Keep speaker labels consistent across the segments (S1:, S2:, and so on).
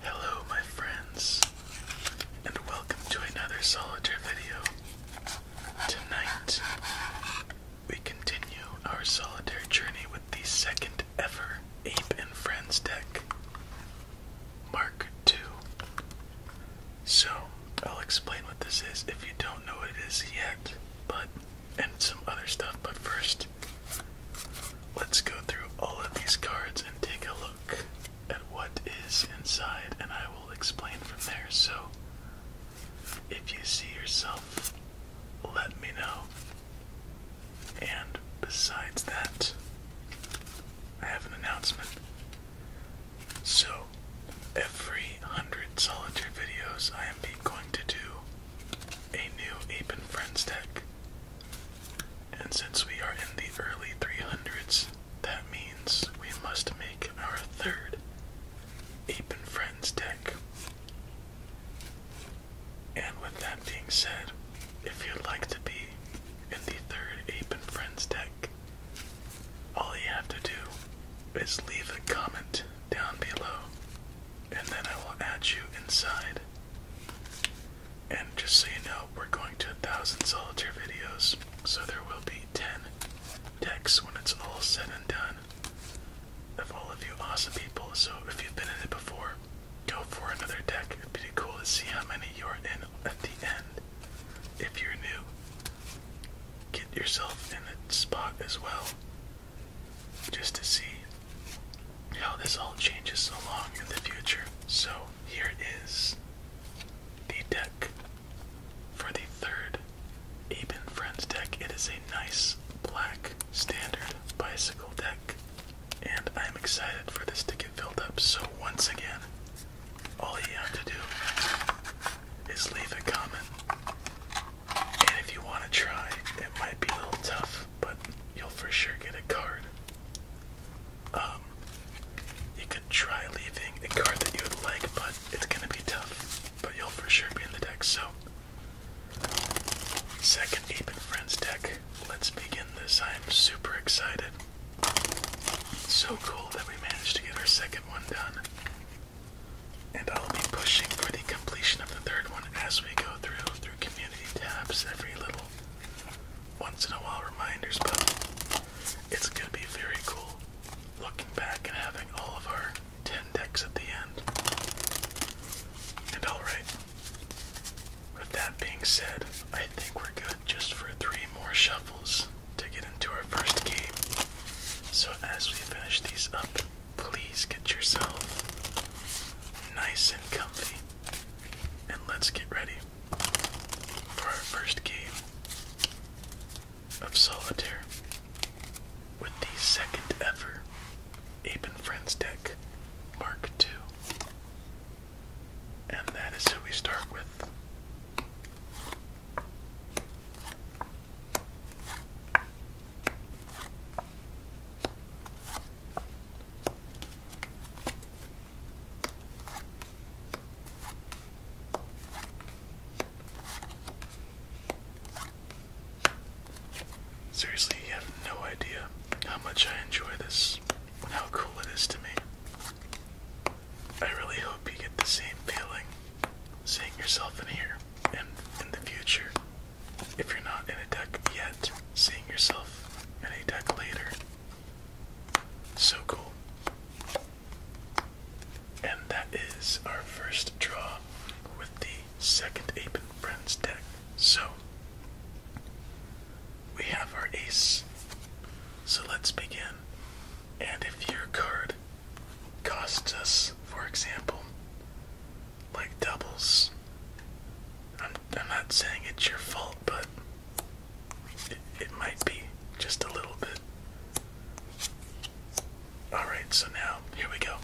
S1: Hello, my friends, and welcome to another solitaire video. Tonight, we continue our solitaire journey with the second ever Ape and Friends deck, Mark II. So, I'll explain what this is if you don't know it is yet, but and some other stuff, but first, let's go through all of these cards and take a look at what is inside, and I will explain from there. So, if you see yourself, let me know. And besides that, I have an announcement. So, every hundred solitaire videos, I am going to do a new Ape and Friends deck. And since we are in the early 300s, that means we must make our third Ape and Friends deck. And with that being said, if you'd like to be in the third Ape and Friends deck, all you have to do is leave a comment down below, and then I will add you inside. And just so you know, we're going to a thousand solitaire videos, so there will be 10 decks when it's all said and done of all of you awesome people. So if you've been in it before, go for another deck. It'd be cool to see how many you're in at the end. If you're new, get yourself in the spot as well. Just to see how this all changes along in the future. So here is the deck for the third Aben Friends deck. It is a nice black standard bicycle deck. And I'm excited for this to get filled up. So, once again, all you have to do is leave a comment. And if you want to try, it might be a little tough, but you'll for sure get a card. Um, you could try leaving a card that you would like, but it's gonna be tough. But you'll for sure be in the deck, so Second Ape Friends deck. Let's begin this. I'm super excited. So cool that we managed to get our second one done. And I'll be pushing for the completion of the third one as we go through through community tabs, every little once in a while reminders, but it's gonna be very cool looking back and having all of our 10 decks at the end. And alright, with that being said, I think we're good just for three more shuffles to get into our first game. So as we finish these up, please get yourself nice and comfy. And let's get ready for our first game of solitaire with the second ever Ape and Friends deck, Mark Two, And that is who we start with. Seriously, you have no idea how much I enjoy this and how cool it is to me. I really hope you get the same feeling seeing yourself in here and in the future. If you're not in a deck yet, seeing yourself in a deck later. So cool. And that is our first draw with the second Ape and Friends deck. So, we have our ace. So let's begin. And if your card costs us, for example, like doubles, I'm, I'm not saying it's your fault, but it, it might be just a little bit. Alright, so now here we go.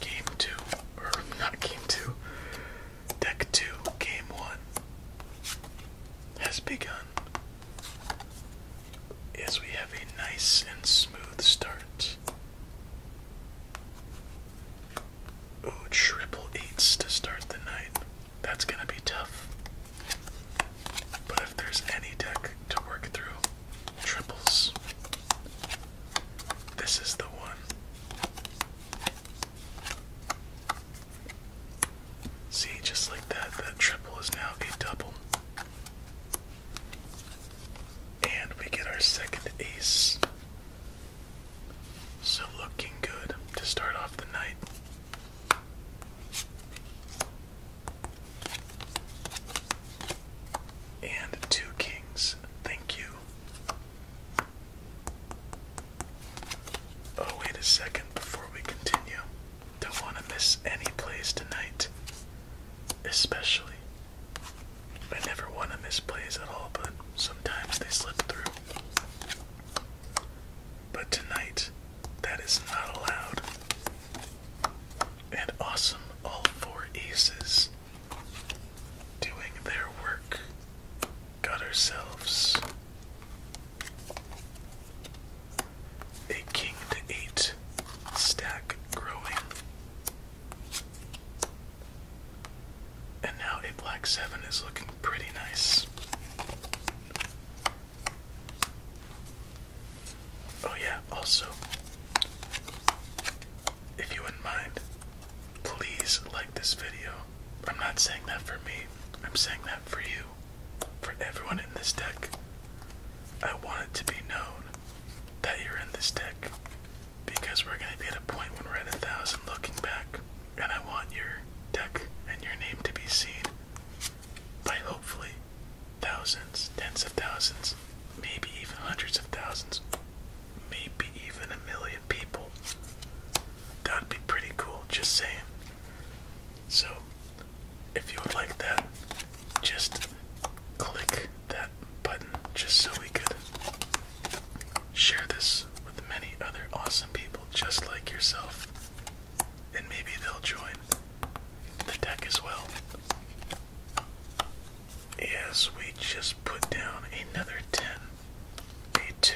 S1: Game two, or not game two, deck two, game one has begun. As we have a nice and smooth start. Ooh, triple eights to start the night. That's gonna be tough. But if there's any deck to work through, triples. This is the one. See, just like that, that triple is now a double. And we get our second ace. So looking good to start off the night. And two kings. Thank you. Oh, wait a second before we continue. Don't want to miss any plays tonight, especially. I never want to miss plays at all, but sometimes they slip through. But tonight, that is not allowed. And awesome, all four aces guys doing their work. Got ourselves a king to eight stack growing. And now a black seven is looking pretty nice. Oh, yeah, also, if you wouldn't mind, please like this video. I'm not saying that for me, I'm saying that for you, for everyone in this deck. I want it to be known that you're in this deck because we're going to be at a point when we're at a thousand looking back, and I want your deck and your name to be seen by hopefully thousands, tens of thousands, maybe even hundreds of thousands maybe even a million people. That'd be pretty cool, just saying. So, if you would like that, just click that button just so we could share this with many other awesome people just like yourself. And maybe they'll join the deck as well. Yes, we just put down another 10, a 2,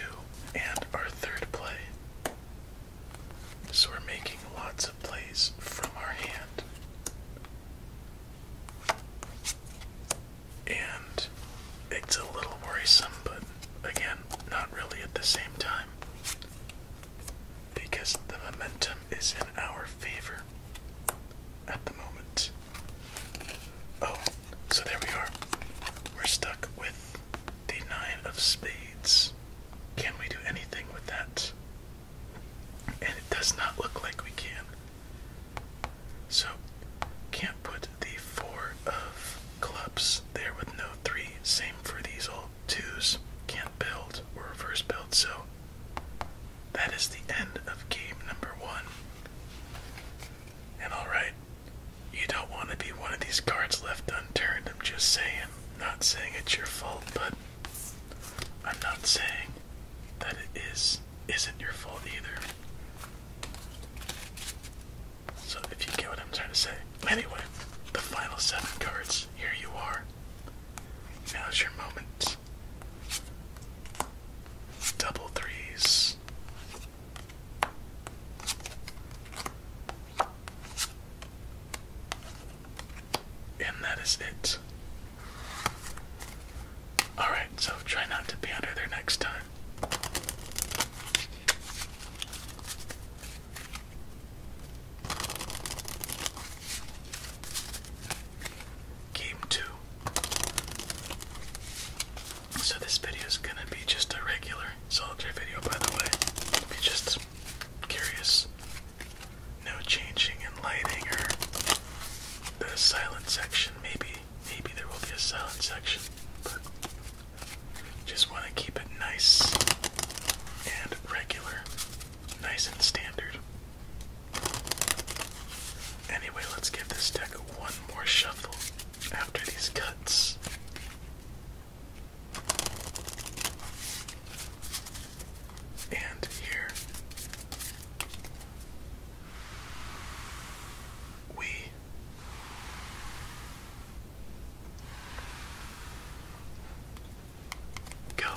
S1: and our third play. So we're making lots of plays from our hand. And it's a little worrisome, but again, not really at the same time. Because the momentum is in our favor at the moment. Oh, so there we are. We're stuck with the nine of spades. Can we do anything with that? And it does not look like we can. So, can't put the four of clubs there with no three. Same for these all twos. Can't build or reverse build, so that is the end of game number one. And alright, you don't want to be one of these cards left unturned, I'm just saying. Not saying it's your fault, but I'm not saying that it is isn't your fault either. So if you get what I'm trying to say. Anyway, the final seven cards, here you are. Now's your moment Double threes. And that is it. Alright, so try not to be under there next time. Game two. So this video is gonna be just a regular soldier video, by the way. just curious, no changing in lighting or the silent section. Maybe, maybe there will be a silent section, but just want to keep it nice and regular, nice and standard. Anyway, let's give this deck one more shuffle after these cuts. And here we go.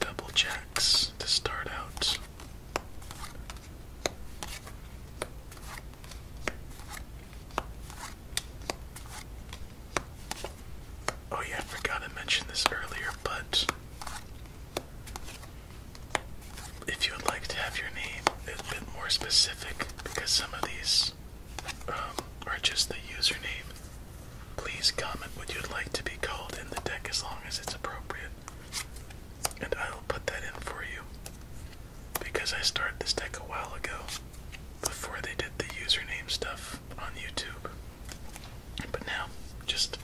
S1: Double jacks to start out. Oh, yeah, I forgot to mention this earlier, but if you would like to have your name a bit more specific, because some of these um, are just the username, please comment what you'd like to be called in the deck as long as it's appropriate. And I'll put that in for you. Because I started this deck a while ago, before they did the username stuff on YouTube. But now, just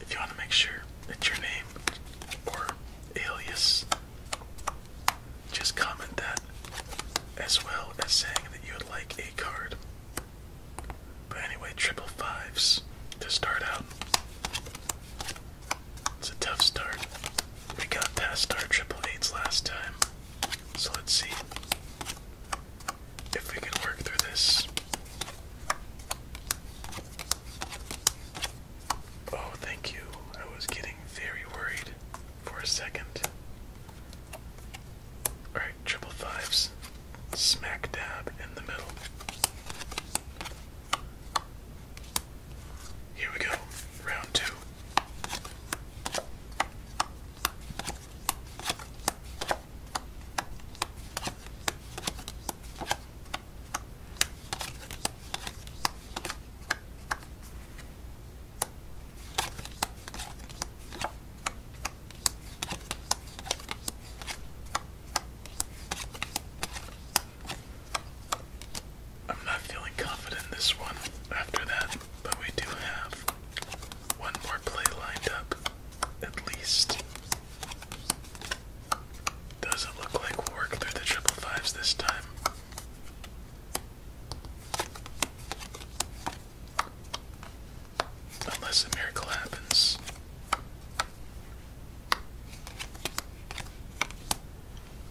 S1: if you want to make sure it's your name or alias, just comment that as well as saying that you would like a card. But anyway, triple fives to start out. It's a tough start. We got past our triple eights last time. So let's see if we can work through this. Oh, thank you. I was getting very worried for a second. Alright, triple fives. Smack dab in the middle. Here we go, round two. I'm not feeling confident in this one after that, but we do have one more play lined up at least. Doesn't look like we'll work through the triple fives this time. Unless a miracle happens.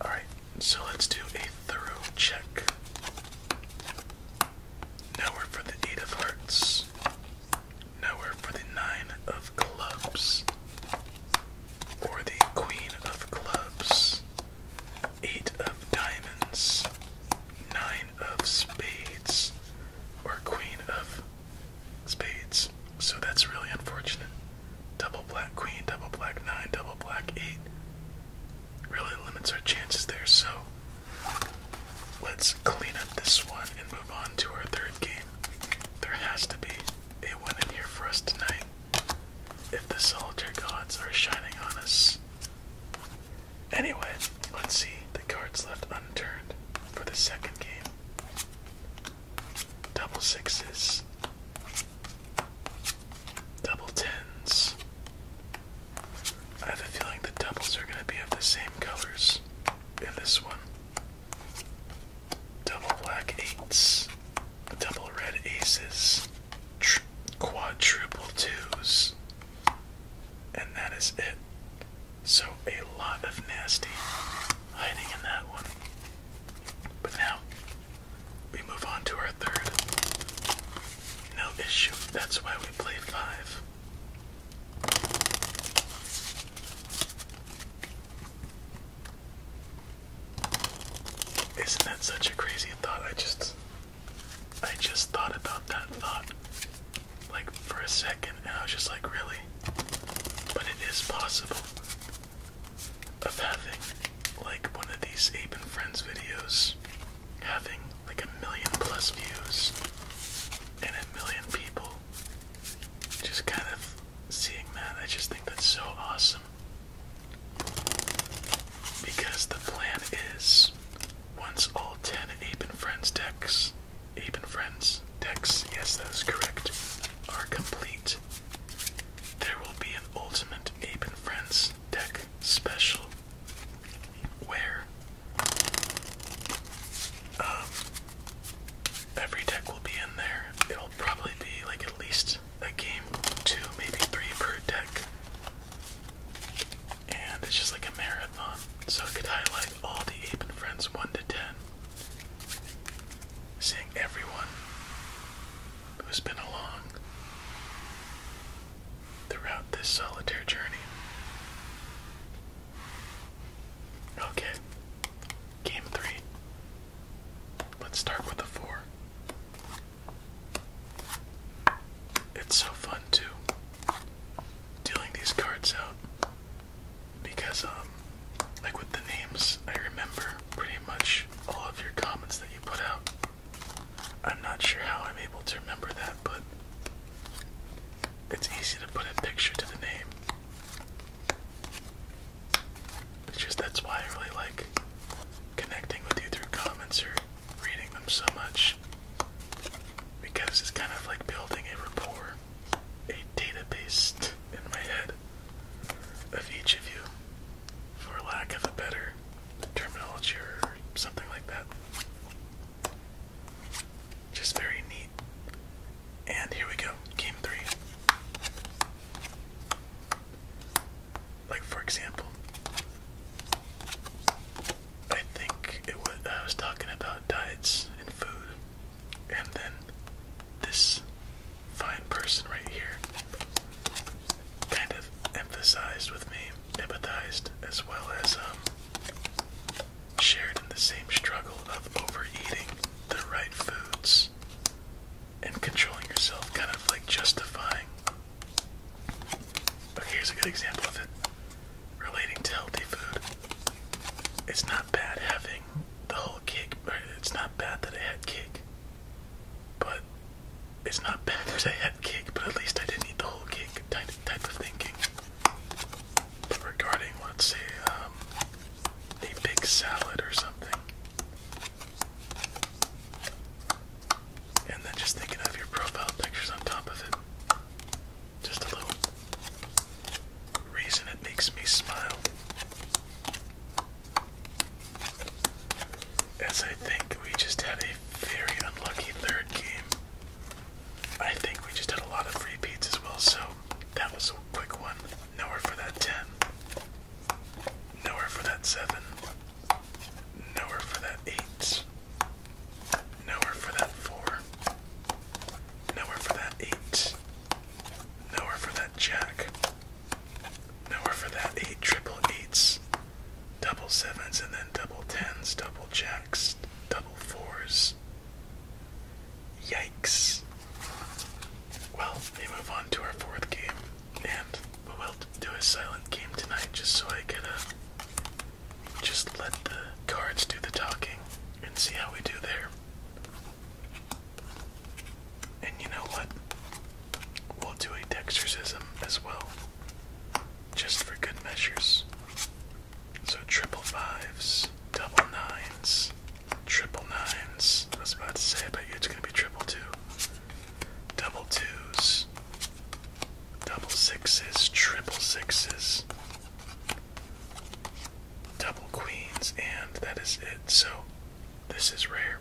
S1: Alright, so let's do a thorough check. Now we're for the Eight of Hearts. Now for the nine of clubs. Or the queen of clubs. Eight of diamonds. Nine of spades. Or queen of spades. So that's really unfortunate. Double black queen, double black nine, double black eight. Really limits our chances there. So Let's clean up this one and move on to our third game. There has to be a win in here for us tonight. If the soldier gods are shining on us. Anyway, let's see the cards left unturned for the second game. Double sixes. Double tens. I have a feeling the doubles are going to be of the same colors eights in this one. Double black eights, double red aces, tr quadruple twos, and that is it. So, a lot of nasty hiding in that one. But now, we move on to our third. No issue, that's why we play five. Isn't that such a crazy thought? I just I just thought about that thought like for a second and I was just like really? But it is possible of having like one of these Ape and Friends videos having like a million plus views and a million people just kind of seeing that, I just think that's so awesome. Because the plan is once all 10 Ape and Friends decks, Ape and Friends decks, yes, that is correct, are complete, there will be an ultimate Ape and Friends deck special where um, every deck will be in there. It'll probably be like at least a game, two, maybe three per deck. And it's just like a marathon. So I could highlight all the Ape and Friends 1 to 10. Seeing everyone who's been along throughout this solitaire journey. Okay. Game three. Let's start with a four. It's so fun too dealing these cards out because um like with the names I remember pretty much all of your comments that you put out. I'm not sure how I'm able to remember that, but it's easy to put a picture to the name. It's just that's why I really like connecting with you through comments or reading them so much. Because it's kind of like building a rapport, a database in my head of each of you, for lack of a better terminology or something like that. Just very neat. And here we go, game three. Like, for example, I think it was, I was talking about diets and food, and then this fine person right here kind of emphasized with me, empathized, as well as, um, shared in the same struggle of overeating the right foods and controlling yourself, kind of like justifying. Okay, here's a good example of it relating to healthy food. It's not bad having the whole cake, or it's not bad that I had cake, but it's not bad that I had cake, but at least I didn't eat the whole cake type of thinking regarding, let's see, um, a big salad or something, and then just thinking of your profile pictures on top of it, just a little reason it makes me smile. As I think we just had a very unlucky third game. I think we just had a lot of repeats as well, so that was a quick one. Nowhere for that 10. Nowhere for that 7. Nowhere for that 8. Nowhere for that 4. Nowhere for that 8. Nowhere for that jack. Nowhere for that 8. Triple 8s. Double 7s and then double 10s. Double jacks. Double 4s. Yikes. Well, we move on to our fourth game, and we will do a silent game tonight just so I can just let the cards do the talking and see how we do there. And you know what? We'll do a dexterism as well, just for good measures. So triple fives, double nines, triple nines. I was about to say, I you it's gonna be triple two. Double twos, double sixes, triple sixes, double queens, and that is it. So this is rare.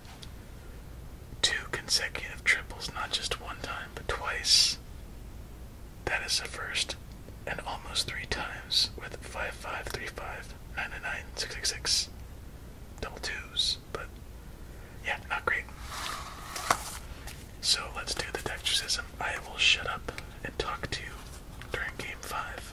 S1: Two consecutive triples, not just one time, but twice. That is the first, and almost three times with 5535, 999, Double twos, but yeah, not great. So let's do the dextercism. I will shut up and talk to you during game five.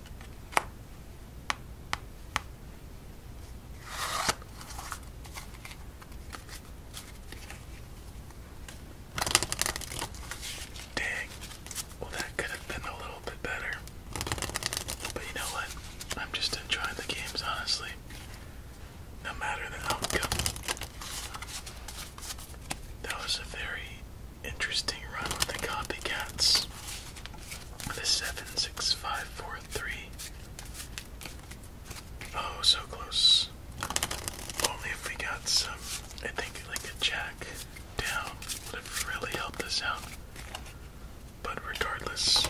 S1: Dang. Well, that could have been a little bit better. But you know what? I'm just enjoying the games, honestly. No matter the outcome. That was a very Interesting run with the copycats. The seven six five four three. Oh, so close. Only if we got some, I think, like a jack down would have really helped us out. But regardless,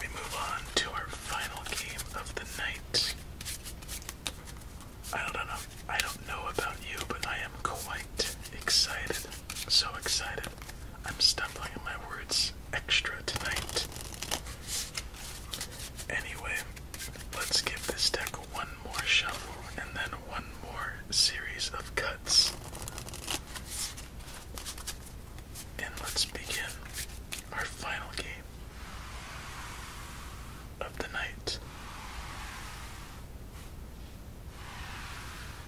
S1: we move on to our final game of the night. I don't know. I don't know about you, but I am quite excited so excited. I'm stumbling on my words extra tonight. Anyway, let's give this deck one more shuffle and then one more series of cuts. And let's begin our final game of the night.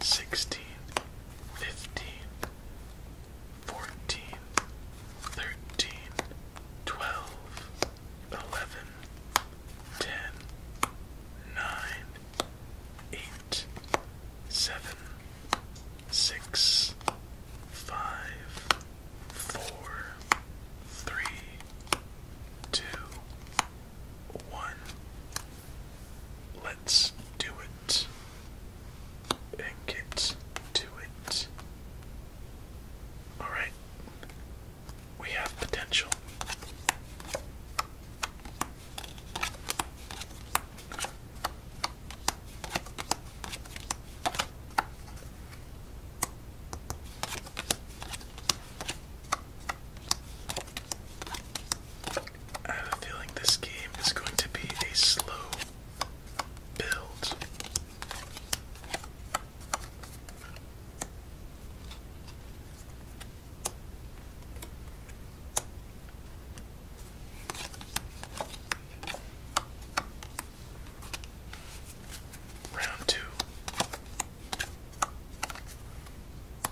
S1: 16, 15, 14, 13, 12, 11, 10, 9, 8, 7, 6, 5, 4, 3, 2, one. Let's do it and get to it. Alright, we have potential. I have a feeling this game is going to be a slow build. Round two.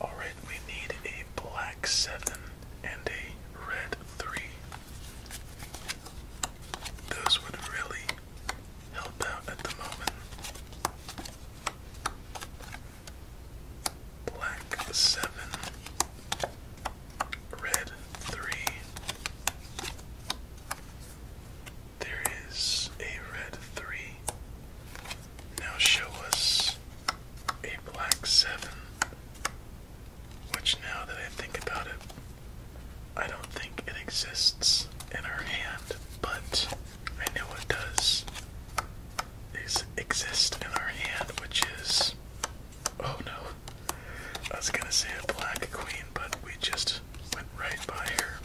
S1: All right, we need a black seven and a red three. Those would really help out at the moment black seven, red three. There is a red three. Now show us a black seven, which now that I think about it, I don't think it exists in our hand, but I know it does exist in our hand, which is. Oh no. I was gonna say a black queen, but we just went right by her.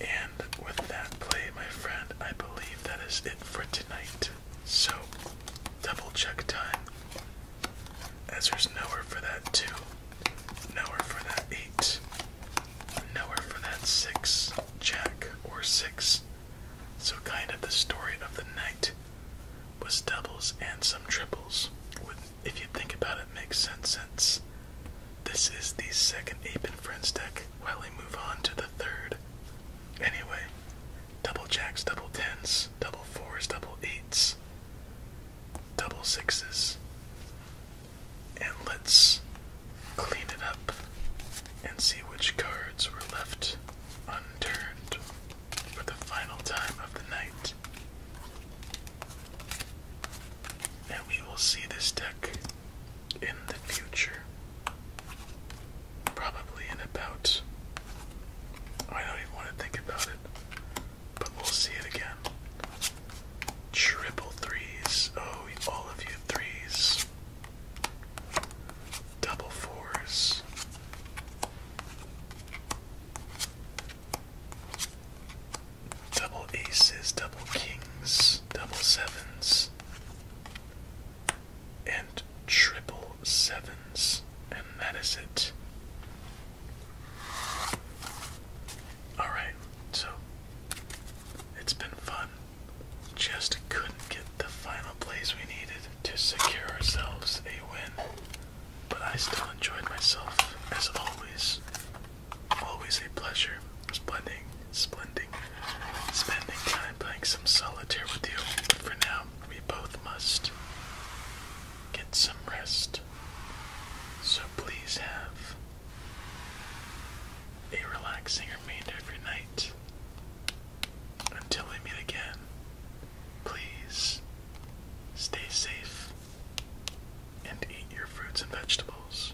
S1: And with that play, my friend, I believe that is it for tonight. So, double check time. As there's nowhere for that 2, nowhere for that 8, nowhere for that six jack or six. So kind of the story of the night was doubles and some triples. if you think about it, makes sense since this is the second Ape and Friends deck while we move on to the third. Anyway, double jacks, double tens, double fours, double eights, double sixes. And let's clean it up and see which cards were left unturned for the final time of the night. And we will see this deck in the future. Probably in about. I don't even want to think about it, but we'll see it again. Triple threes. Oh, all of you threes. Double fours. Double aces, double kings, double sevens, and triple sevens, and that is it. Alright, so it's been fun. Just couldn't get the final plays we needed to secure ourselves a win. But I still enjoyed myself, as always. Always a pleasure. Splendid, splendid. Spending time playing some solitaire with you. But for now, we both must get some rest. So please have a relaxing remainder every night. Until we meet again, please stay safe and eat your fruits and vegetables.